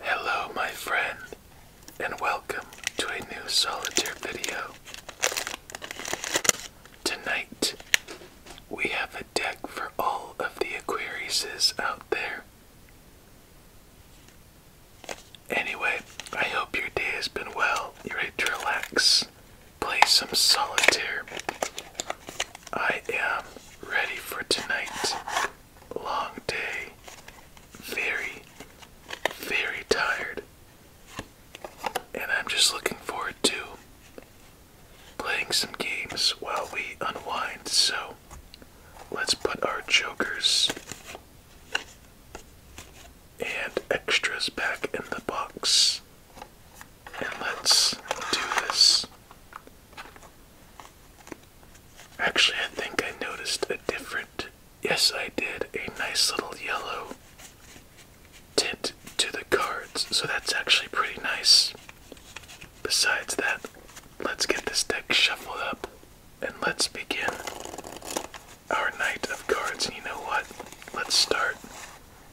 Hello, my friend, and welcome to a new solitaire video. Tonight, we have a deck for all of the Aquariuses out there. Anyway, I hope your day has been well. You're ready to relax, play some solitaire. I am ready for tonight? long day. Very, very tired. And I'm just looking forward to playing some games while we unwind. So let's put our jokers and extras back in the box. And let's do this. Actually, I think I noticed a different, yes, I did, a nice little yellow tint to the cards, so that's actually pretty nice. Besides that, let's get this deck shuffled up and let's begin our night of cards. And you know what? Let's start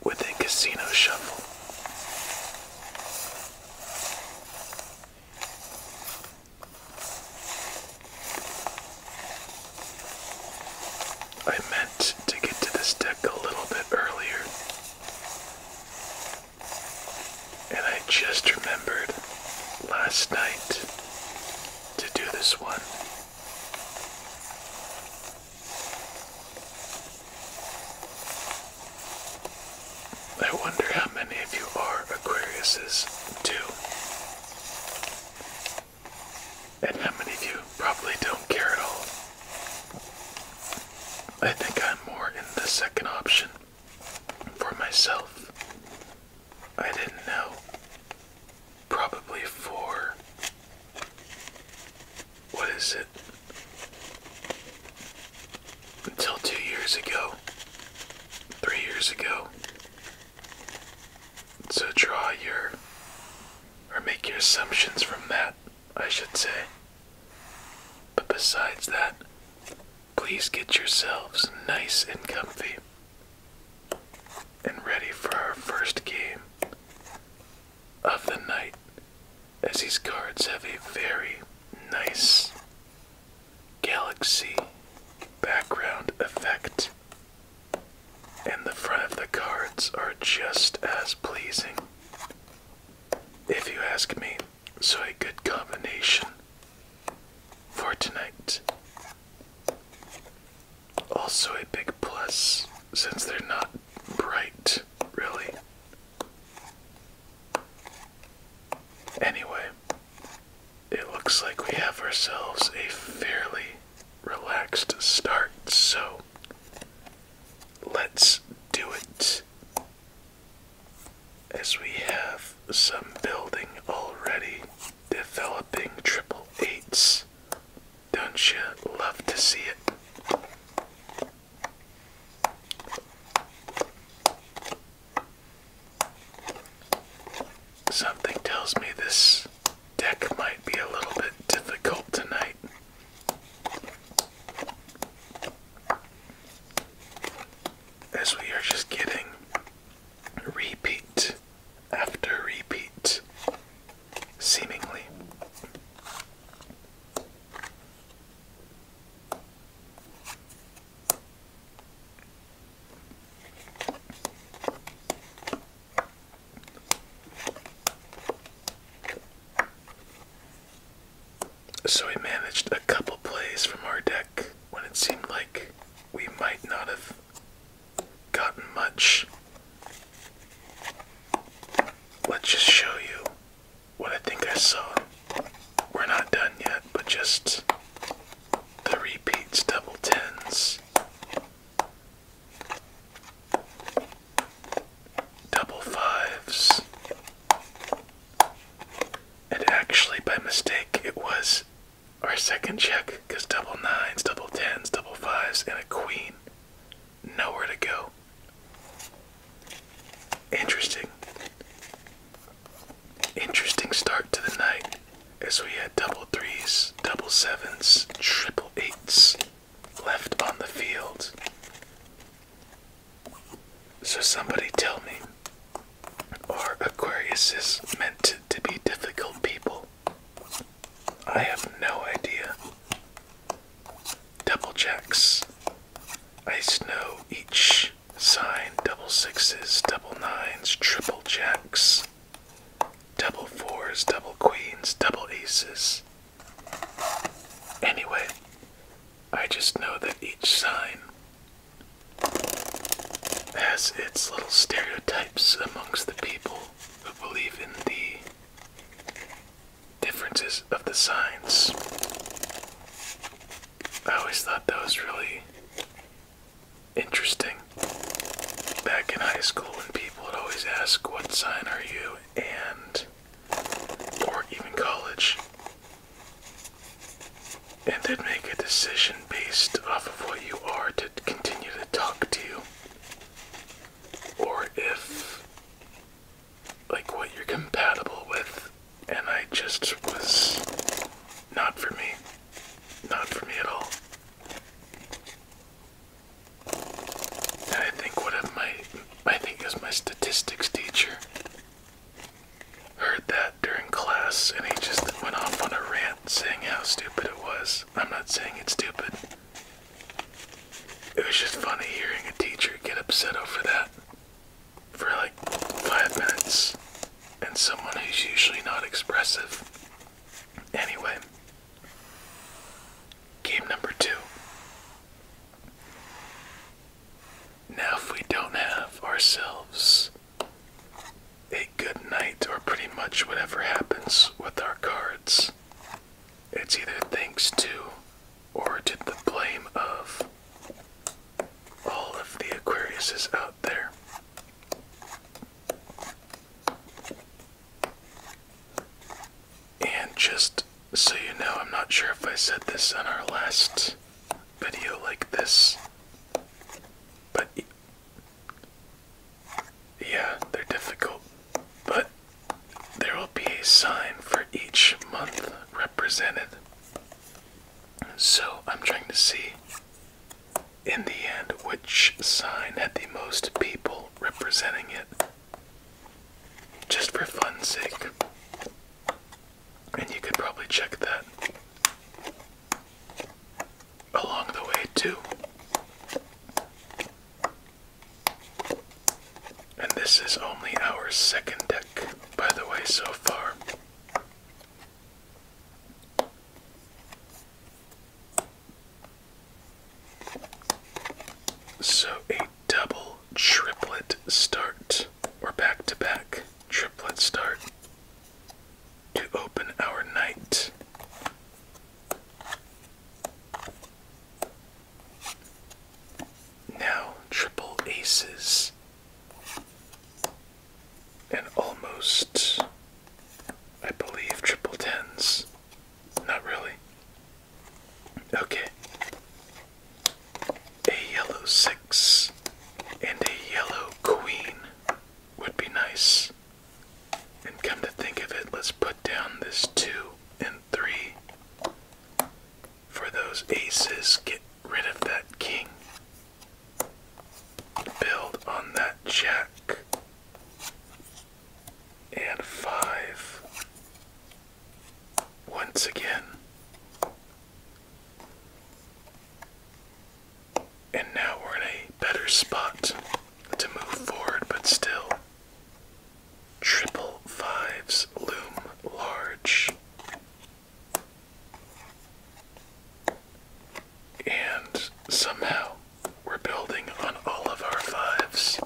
with a casino shuffle. I meant to get to this deck a little bit earlier, and I just remembered last night to do this one. I wonder how many of you are Aquariuses too. And how many of you probably don't care at all. I think I'm more in the second option for myself. I didn't know. Probably for. What is it? until two years ago, three years ago. So draw your, or make your assumptions from that, I should say. But besides that, please get yourselves nice and comfy and ready for our first game of the night as these cards have a very nice galaxy background effect, and the front of the cards are just as pleasing, if you ask me. So, a good combination for tonight. Also, a big plus since they're not bright, really. Anyway, it looks like we have ourselves a fairly relaxed start, so let's do it. As we have some building already developing triple eights, don't you love to see it? Something tells me this deck might be a little bit difficult tonight. As we are just getting repeat after repeat, seemingly. So we managed a couple plays from our deck when it seemed like we might not have gotten much. Let's just show you what I think I saw. We're not done yet, but just the repeats, double tens, double fives. And actually, by mistake, it was our second check because double nines, double tens, double fives, and a queen. Nowhere to go. Interesting. Interesting start to the night as we had double threes, double sevens, triple eights left on the field. So, somebody tell me, are Aquariuses meant to be difficult people? I have no idea double jacks. I know each sign double sixes, double nines, triple jacks, double fours, double queens, double aces. Anyway, I just know that each sign has its little stereotypes amongst the people who believe in the differences of the signs. I always thought that was really interesting. Back in high school, when people would always ask, What sign are you? and, or even college, and they'd make a decision based off of what you are to continue to talk to you, or if like what you're compatible with, and I just was not for me. Not for me at all. I think one of my, I think it my statistics teacher, heard that during class and he just went off on a rant saying how stupid it was. I'm not saying it's stupid. It was just funny hearing a teacher get upset over that for like five minutes and someone who's usually not expressive. Anyway, game number two. Now, if we don't have ourselves a good night or pretty much whatever happens with our cards, it's either thanks to or did the blame of all of the Aquarius is out there and just so you know, I'm not sure if I said this on our last video like this, but yeah, they're difficult. But there will be a sign for each month represented. So I'm trying to see in the end which sign had the most people representing it. Just for fun's sake. And you could probably check that along the way too. And this is only our second deck by the way, so far. So a double triplet start, or back to back triplet start to open our night. Now, triple aces and almost, I believe, triple tens. Not really. Okay. A yellow six and a yellow queen would be nice. And come to think of it, let's put down this two and three for those aces. Get rid of that king. Build on that jack. And five. Once again. And now we're in a better spot to move forward, but still. Triple fives loom large. And somehow we're building on all of our fives.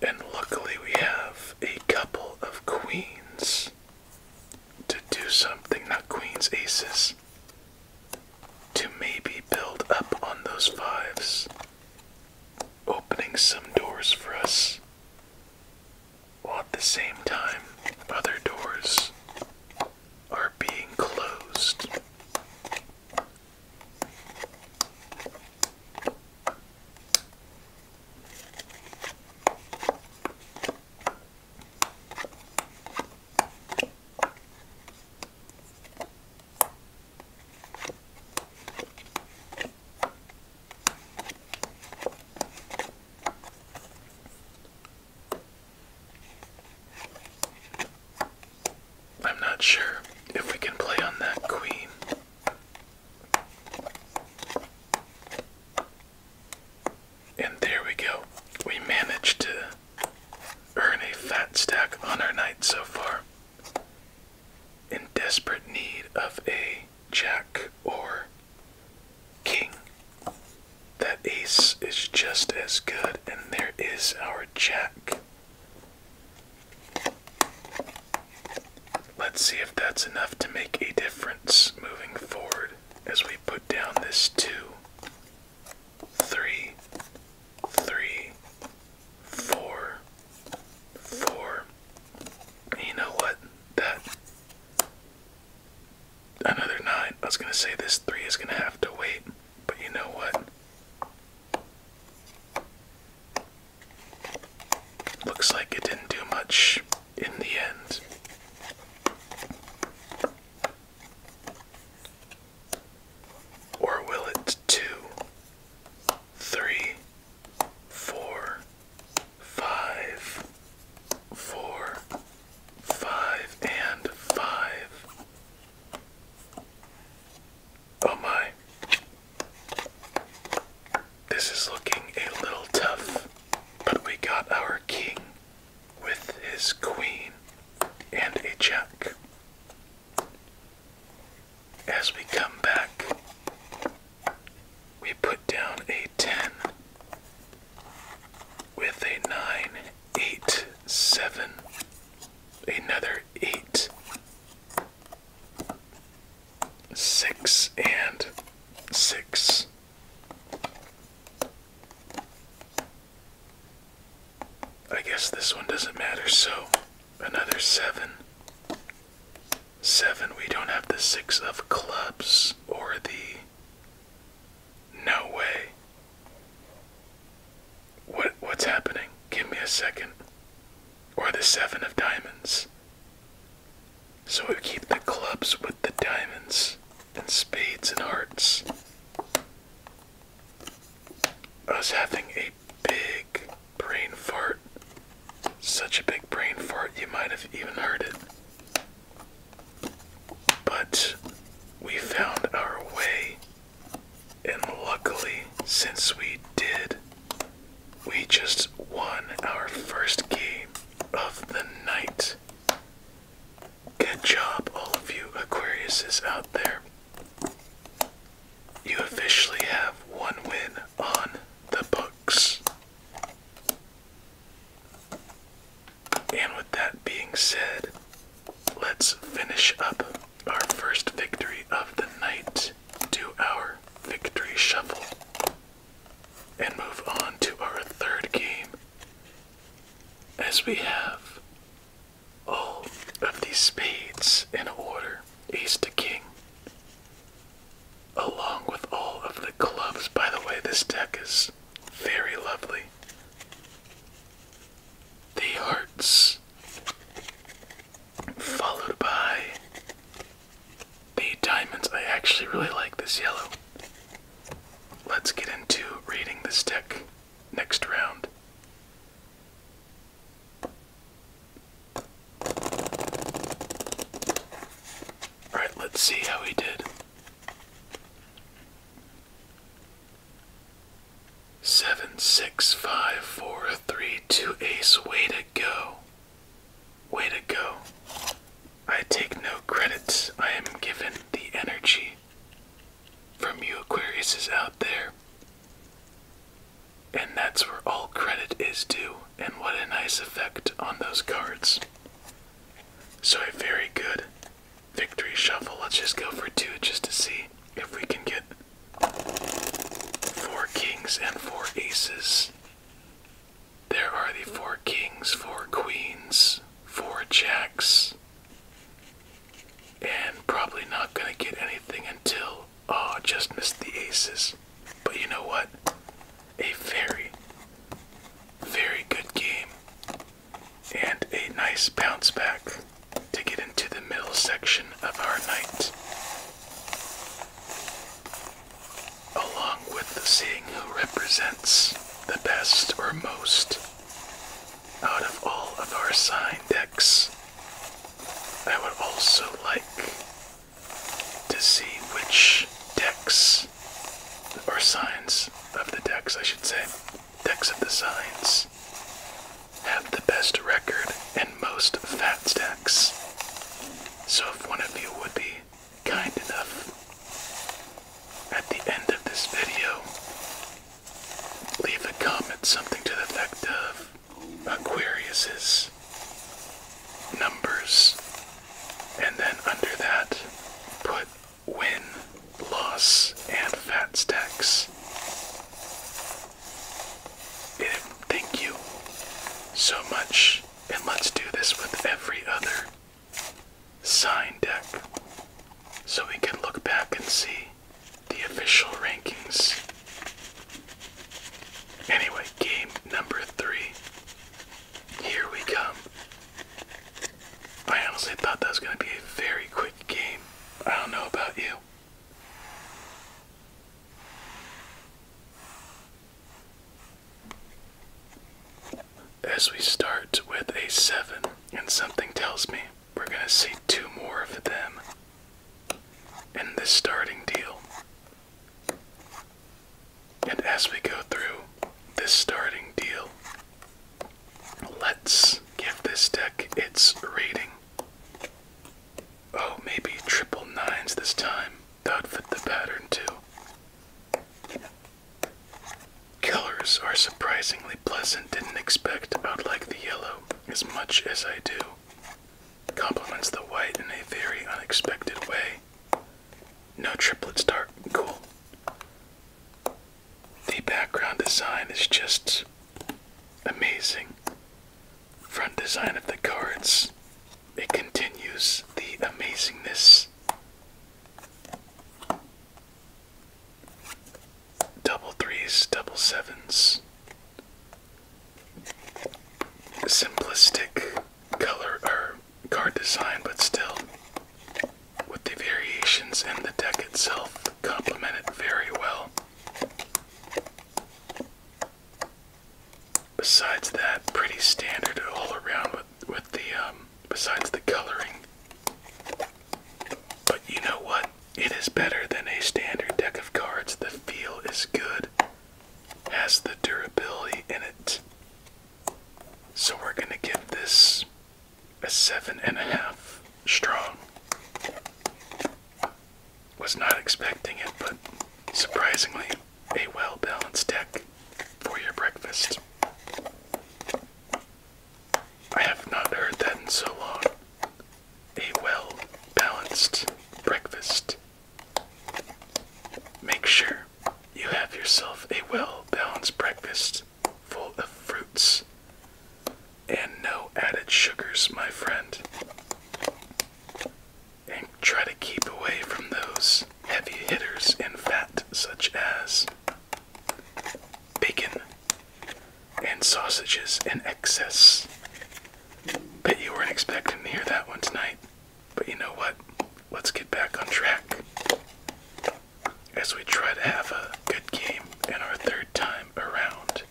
And luckily, we have a couple of queens to do something, not queens, aces, to maybe build up on those fives opening some doors for us while at the same time other doors are being closed. I'm not sure if we can play on that queen. And there we go. We managed to earn a fat stack on our night so far in desperate need of a jack or king. That ace is just as good, and there is our jack. Let's see if that's enough to make a difference moving forward as we put down this two, three, three, four, four. You know what? That another nine. I was gonna say this three is gonna have to wait, but you know what? Looks like it didn't do much in the end. Or will it? Two, three, four, five, four, five, and five. Oh my. This is looking a little tough, but we got our king with his queen and a jack. As we come back, we put down a 10 with a 9, 8, 7, another 8, 6, and 6. I guess this one doesn't matter, so another 7 Seven, we don't have the six of clubs or the. No way. What what's happening? Give me a second. Or the seven of diamonds. So we keep the clubs with the diamonds and spades and hearts. Us having a big Brain fart. Such a big brain fart, you might have even heard it. But we found our way, and luckily, since we did, we just won our first game of the night. Good job, all of you Aquariuses out there. You officially have one win on the books. And with that being said, let's finish up our first victory of the night to our victory shuffle and move on to our third game as we have all of these spades in order ace to king along with all of the clubs. By the way, this deck is very lovely. The hearts, followed by the diamonds. I actually really like this yellow. Let's get into reading this deck next round. Alright, let's see how he did. Seven, six, five, four, three, two, ace. Way to go. Way to go. I take no credits. I am given the energy from you, Aquarius, is out there. And that's where all credit is due, and what a nice effect on those cards. So, a very good victory shuffle. Let's just go for two just to see if we can get four kings and four aces. There are the four kings, four queens, four jacks, and probably not going to get anything until Oh, just missed the aces. But you know what? A very, very good game and a nice bounce back to get into the middle section of our night. Along with the seeing who represents the best or most out of all of our sign decks, I would also like to see which decks or signs of the decks, I should say, decks of the signs have the best record and most fat stacks. So if one of you would be kind enough at the end of this video, leave a comment something to the effect of Aquarius's numbers, and then under that, put win, loss, and fat stacks. Thank you so much, and let's do this with every other sign deck so we can look back and see the official rankings Anyway, game number three. Here we come. I honestly thought that was going to be a very quick game. I don't know about you. As we start with a 7, and something tells me we're going to see two more of them and this starting deal. And as we go through this starting deal, let's give this deck its rating. Oh, maybe triple nines this time. That would fit the pattern too. Killers are surprisingly pleasant. Didn't expect I would like the yellow as much as I do. Complements the white in a very unexpected way. No triplets dark cool. The background design is just amazing. Front design of the cards. It continues the amazingness. Double threes, double sevens simplistic color or card design, but still, with the variations in the deck itself, complement it very well. Besides that, pretty standard all around with, with the, um, besides the coloring. But you know what? It is better than a standard deck of cards. The feel is good has the durability in it. So we're going to give this a seven and a half strong. Was not expecting it, but surprisingly, a well balanced deck for your breakfast. I have not heard that in so long. A well balanced breakfast. Make sure you have yourself a well balanced breakfast full of fruits and no added sugars, my friend. And try to keep away from those heavy hitters in fat, such as bacon and sausages in excess. Bet you weren't expecting to hear that one tonight. But you know what? Let's get back on track as we try to have a good game in our third time around.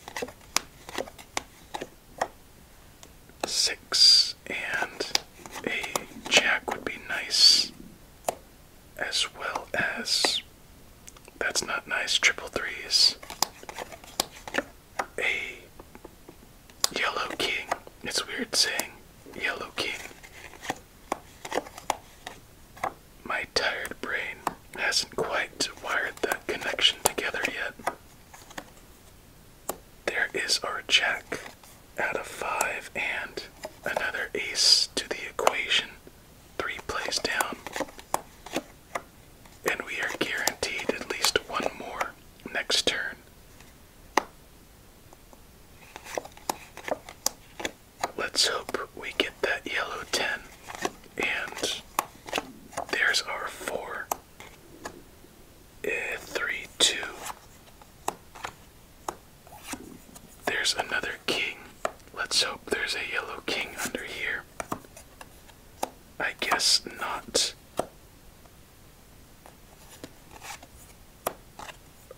Six and a jack would be nice, as well as that's not nice, triple threes a yellow king. It's weird saying yellow king. My tired brain hasn't quite wired that connection together yet. There is our check out of five and another ace to the equation, three plays down. And we are guaranteed at least one more next turn. Let's hope we get that yellow 10. And there's our 4. Uh, 3 2. There's another king. Let's hope there's a yellow king under here. I guess not.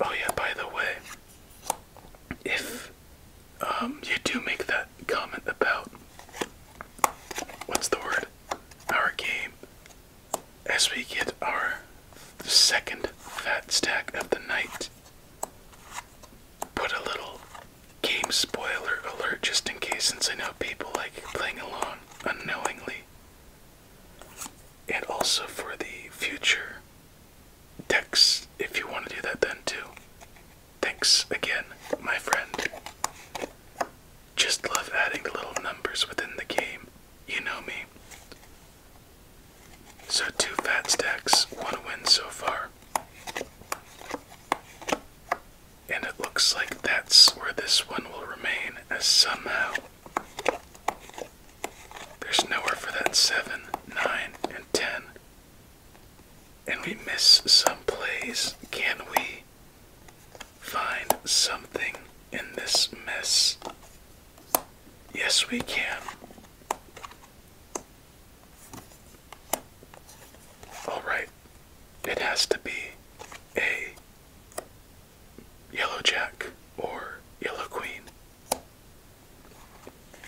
Oh yeah, by the way, if um, you do make that comment about what's the word? Our game. As we get our second fat stack of the night, put a little game spoiler alert just in case, since I know people like playing along unknowingly and also for the future decks if you want to do that then too. Thanks again, my friend. Just love adding the little numbers within the game. You know me. So, two fat stacks, one win so far. And it looks like that's where this one will remain, as somehow there's nowhere for that 7, 9, and 10. And we miss some plays. Can we find something in this mess? Yes, we can. Alright, it has to be a Yellow Jack or Yellow Queen.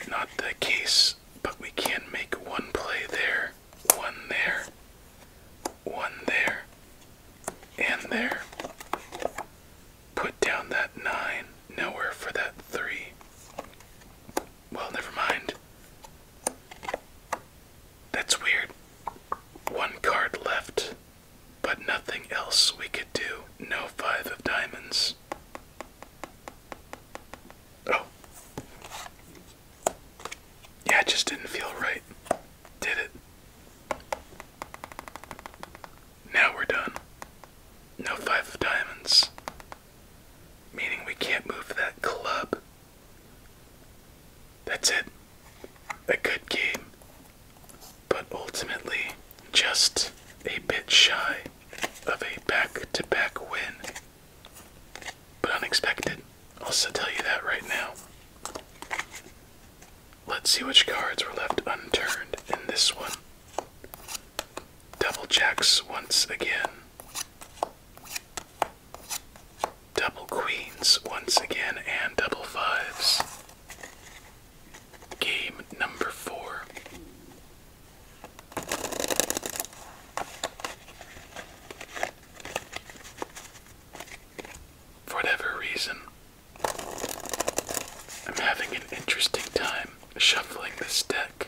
Not the case, but we can make one play there, one there, one there, and there. Put down that nine, nowhere for that three. Well, never mind. That's weird. One card left, but nothing else we could do. No five of diamonds. Oh. Yeah, it just didn't feel right. Did it? Now we're done. No five of diamonds. Meaning we can't move that club that's it. A good game, but ultimately just a bit shy of a back to back win. But unexpected. I'll also tell you that right now. Let's see which cards were left unturned in this one. Double jacks once again. Double queens once again and double fives. Game number four. For whatever reason, I'm having an interesting time shuffling this deck.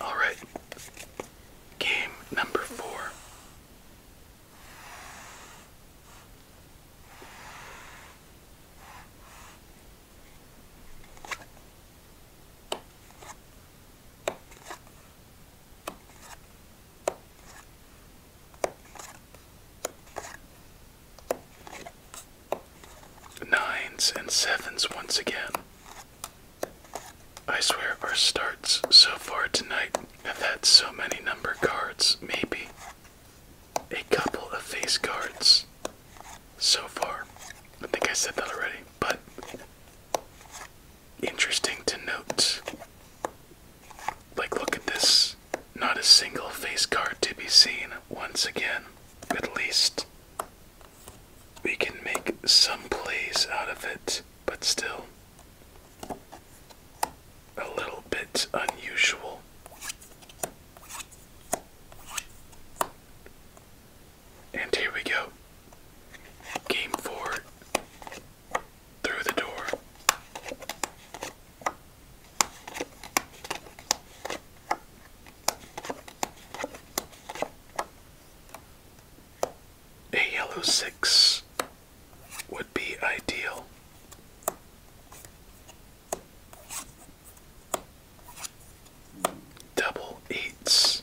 All right. Game number four. Nines and sevens once again. I swear our starts so far tonight have had so many number cards, maybe a couple of face cards so far. I think I said that already, but interesting to note. Like, look at this. Not a single face card to be seen once again. At least we can make some plays out of it, but still a little bit unusual. And here we go. Game four. Through the door. A yellow six would be ideal. Double eights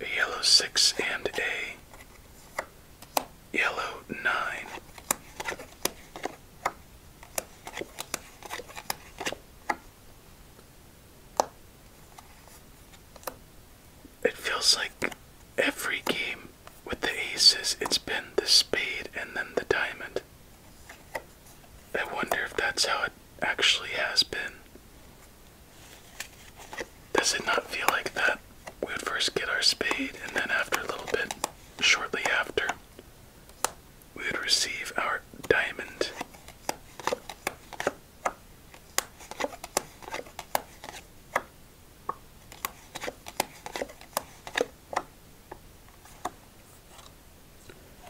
a yellow six and a yellow nine. It feels like every game with the aces, it's been the spade and then the diamond. I wonder if that's how it actually has been. Does it not feel like that? We would first get our spade, and then after a little bit, shortly after, we would receive our diamond.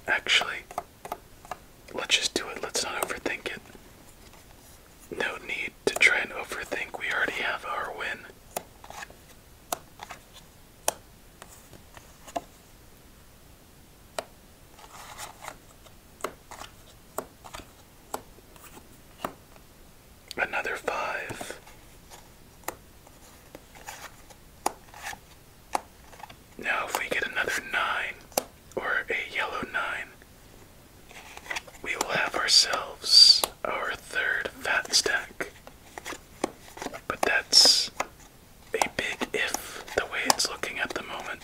Actually, Let's just do it. Let's not overthink it. No need to try and overthink. We already have our win. Another five. Now, if we get another nine, or a yellow 9, we will have ourselves our third fat stack. But that's a big if the way it's looking at the moment.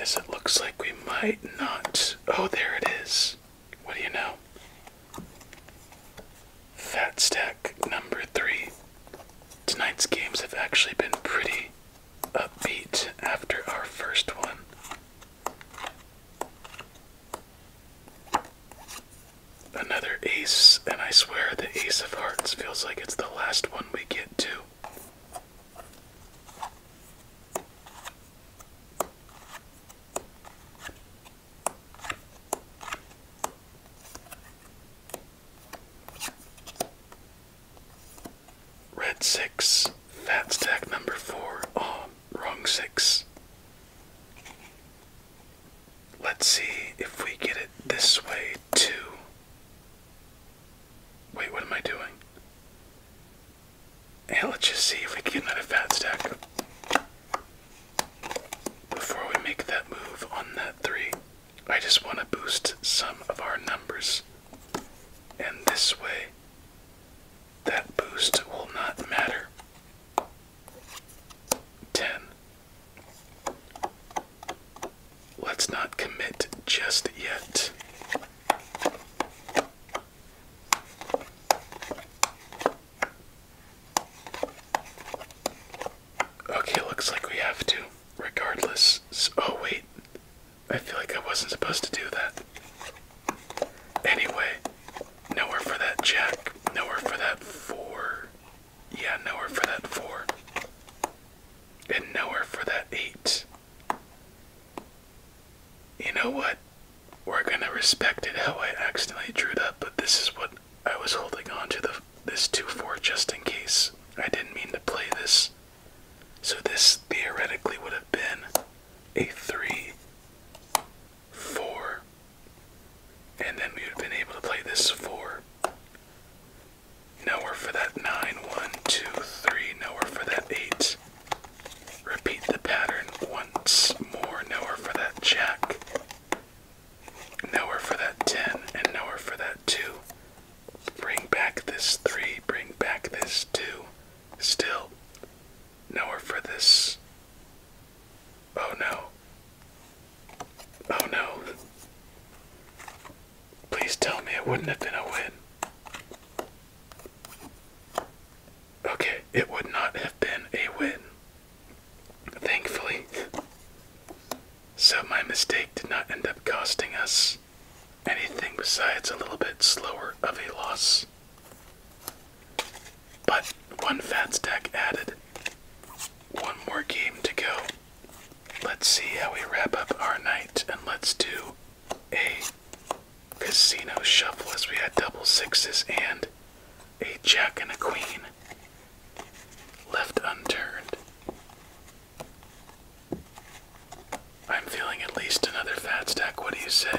As it looks like we might not. Oh, there it is. What do you know? Fat stack number three. Tonight's games have actually been pretty upbeat after our first one. Another ace, and I swear the ace of hearts feels like it's the last one we get to. Red six, fat stack number four. Oh, wrong six. Let's see if we get it this way too. Wait, what am I doing? And let's just see if we can get another fat stack. Before we make that move on that three, I just want to boost some of our numbers. And this way, that boost will not matter. 10. Let's not commit just yet. Okay, looks like we have to, regardless. oh, wait. I feel like I wasn't supposed to do that. Anyway, nowhere for that jack, nowhere for that four. Yeah, nowhere for that four. And nowhere for that eight. You know what? We're gonna respect it how I accidentally drew that, but this is what I was holding on to the this 2-4 just in case. I didn't mean to play this. So this theoretically would have been a 3, 4, and then we would have been able to play this 4. Nowhere for that 9, 1, 2, 3, nowhere for that 8. Repeat the pattern once more, nowhere for that jack. Nowhere for that 10 and nowhere for that 2. Bring back this 3, bring back this 2. Still, nowhere for this. Oh no. Oh no. Please tell me it wouldn't have been a win. Okay, it would not have been a win. Thankfully. So my mistake did not end up costing us anything besides a little bit slower of a loss. But one fat stack added. One more game to go. Let's see how we wrap up our night and let's do a casino shuffle as we had double sixes and a jack and a queen left unturned. I'm feeling at least another fat stack. What do you say?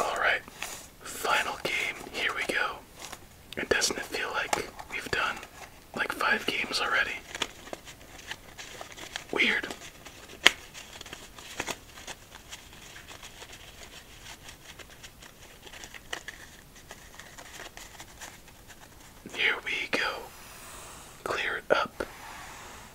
Alright, final game, here we go. And doesn't feel like we've done like five games already? Weird. Here we go. Clear it up.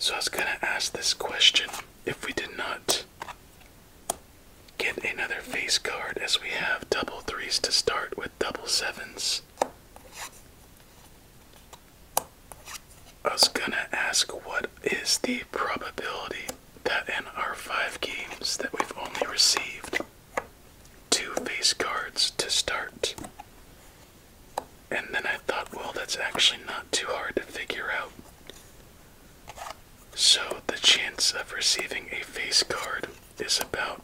So I was going to ask this question if we did not get another face card, as we have double threes to start with double sevens. I was going to ask what is the probability that in our five games that we've only received two face cards to start and then I thought, well, that's actually not too hard to figure out. So the chance of receiving a face card is about,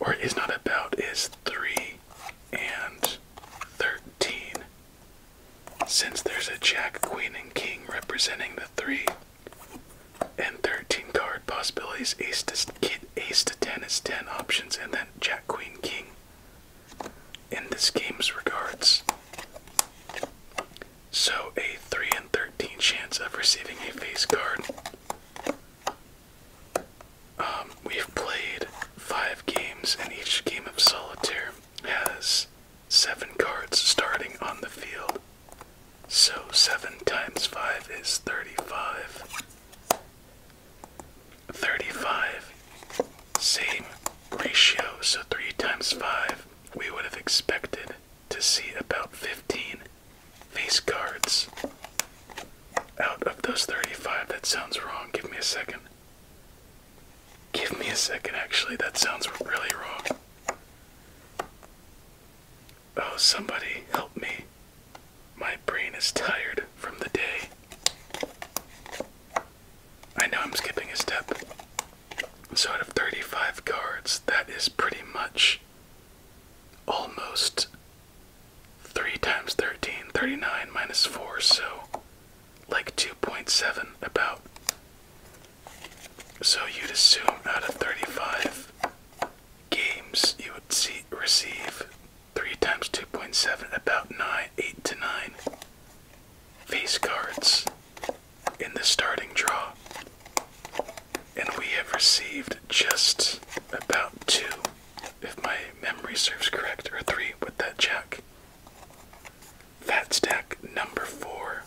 or is not about, is 3 and 13. Since there's a Jack, Queen, and King representing the 3 and 13 card possibilities, Ace to, kid, ace to 10 is 10 options, and then Jack, Queen, King in this game's regards. So a 3 in 13 chance of receiving a face card. Um, we've played five games, and each game of solitaire has seven cards starting on the field. So seven times five is 35. 35. Same ratio, so 3 times 5. We would have expected to see about 15 face cards out of those 35. That sounds wrong. Give me a second. Give me a second, actually. That sounds really wrong. Oh, somebody help me. My brain is tired from the day. I know I'm skipping a step. So out of 35 cards, that is pretty much almost 3 times 13, 39 minus 4, so like 2.7 about. So you'd assume out of 35 games you would see receive 3 times 2.7, about 9, 8 to 9 face cards in the starting draw. And we have received just about 2, if my memory serves correct, or 3 with that jack. Fat stack number 4.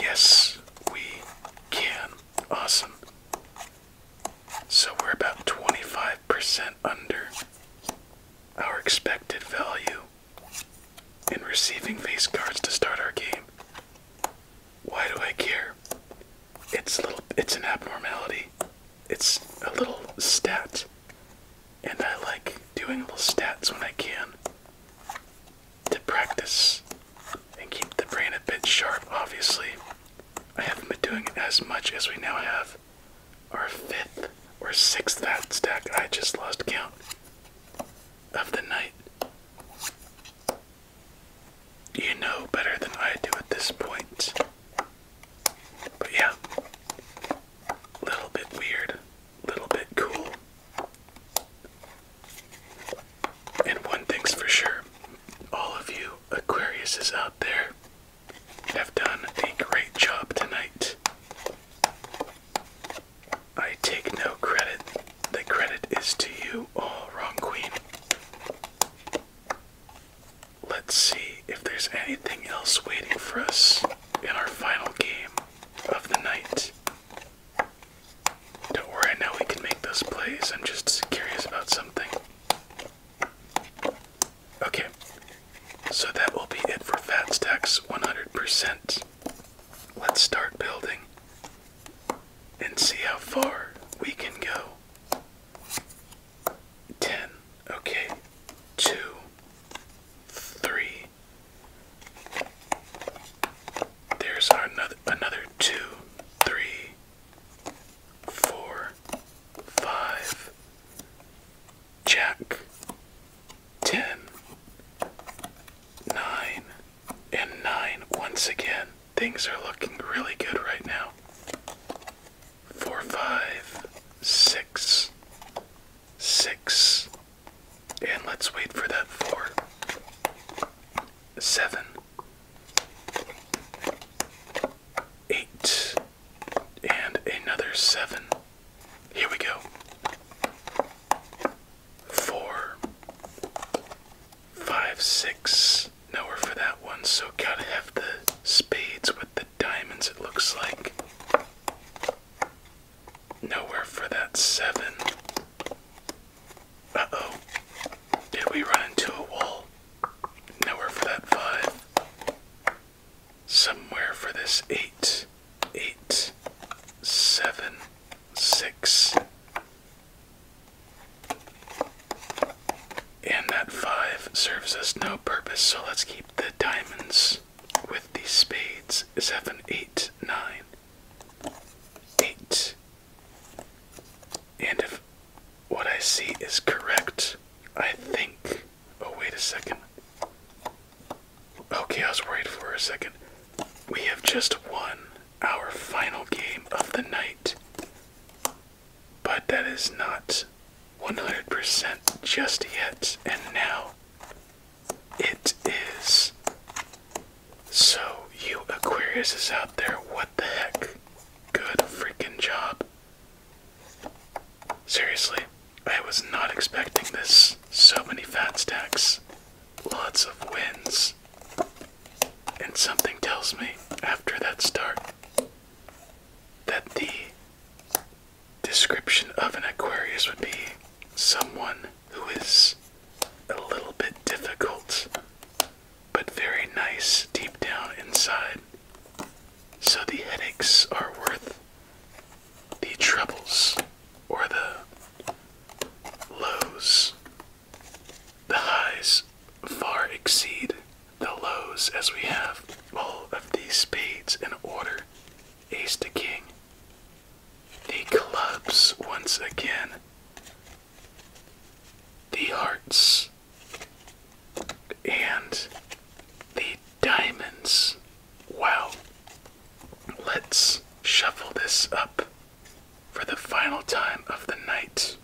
Yes, we can. Awesome. So we're about 25% under our expected value in receiving face cards to start our game. Why do I care? It's a little it's an abnormality. It's a little stat. And I like doing little stats when I can to practice and keep the brain a bit sharp, obviously. I haven't been doing it as much as we now have fourth or fifth or sixth fat stack. I just lost count of the night. You know better than I do at this point. But yeah, a little bit weird, a little bit cool. And one thing's for sure all of you Aquarius is out there have done a great job tonight. I take no credit. The credit is to you all, Wrong Queen. Let's see if there's anything else waiting for us in our final game of the night. Don't worry, I know we can make those plays. I'm just curious about something. Okay, so that will be it for fat stacks 100%. Let's start building and see how far we can go. 10, okay, 2, 3. There's another, another 2, 3, 4, 5. Jack, ten, nine, and nine. Once again, things are looking really good right now. Four, five, six, six, and let's wait for that four, seven, eight, and another seven. Here we go. Four, five, six. Nowhere for that one, so gotta have the spades with the diamonds, it looks like. Nowhere for that seven. Uh oh. Did we run into a wall? Nowhere for that five somewhere for this eight, eight, seven, six, and that five serves us no purpose, so let's keep the diamonds with the spades. Seven, eight, nine, eight. And if what I see is correct, I think Oh, wait a second. Okay, I was worried for a second. We have just won our final game of the night. But that is not 100% just yet. And now it is. So, you Aquarius is out there, what the heck? Good freaking job. Seriously, I was not expecting this. So many fat stacks, lots of wins. And something tells me after that start that the description of an Aquarius would be someone who is a little bit difficult but very nice deep down inside. So the headaches are worth the troubles or the lows. The highs far exceed the lows as we have all of these spades in order. Ace to king. The clubs once again. The hearts. And the diamonds. Wow. Let's shuffle this up for the final time of the night.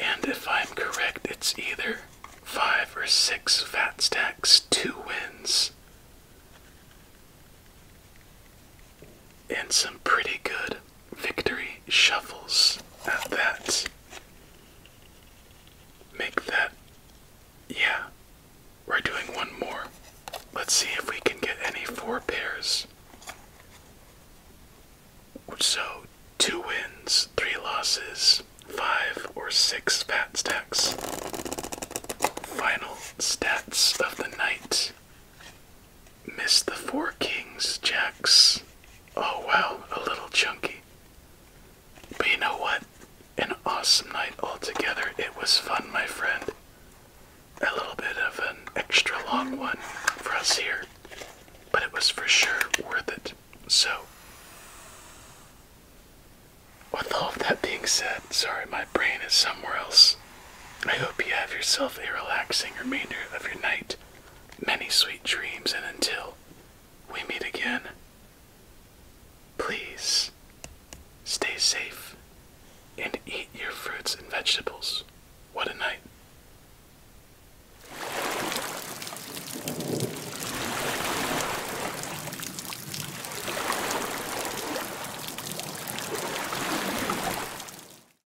And if I'm correct, it's either five or six fat stacks, two wins and some pretty good victory shuffles at that. Make that. Yeah, we're doing one more. Let's see if we can get any four pairs. So, two wins, three losses, five or six fat stacks. Final stats of the night Missed the Four Kings, Jacks. Oh well, a little chunky. But you know what? An awesome night altogether. It was fun, my friend. A little bit of an extra long one for us here, but it was for sure worth it. So, with all of that being said, sorry, my brain is somewhere else. I hope you have yourself a relaxing remainder of your night many sweet dreams, and until we meet again, please stay safe and eat your fruits and vegetables. What a night!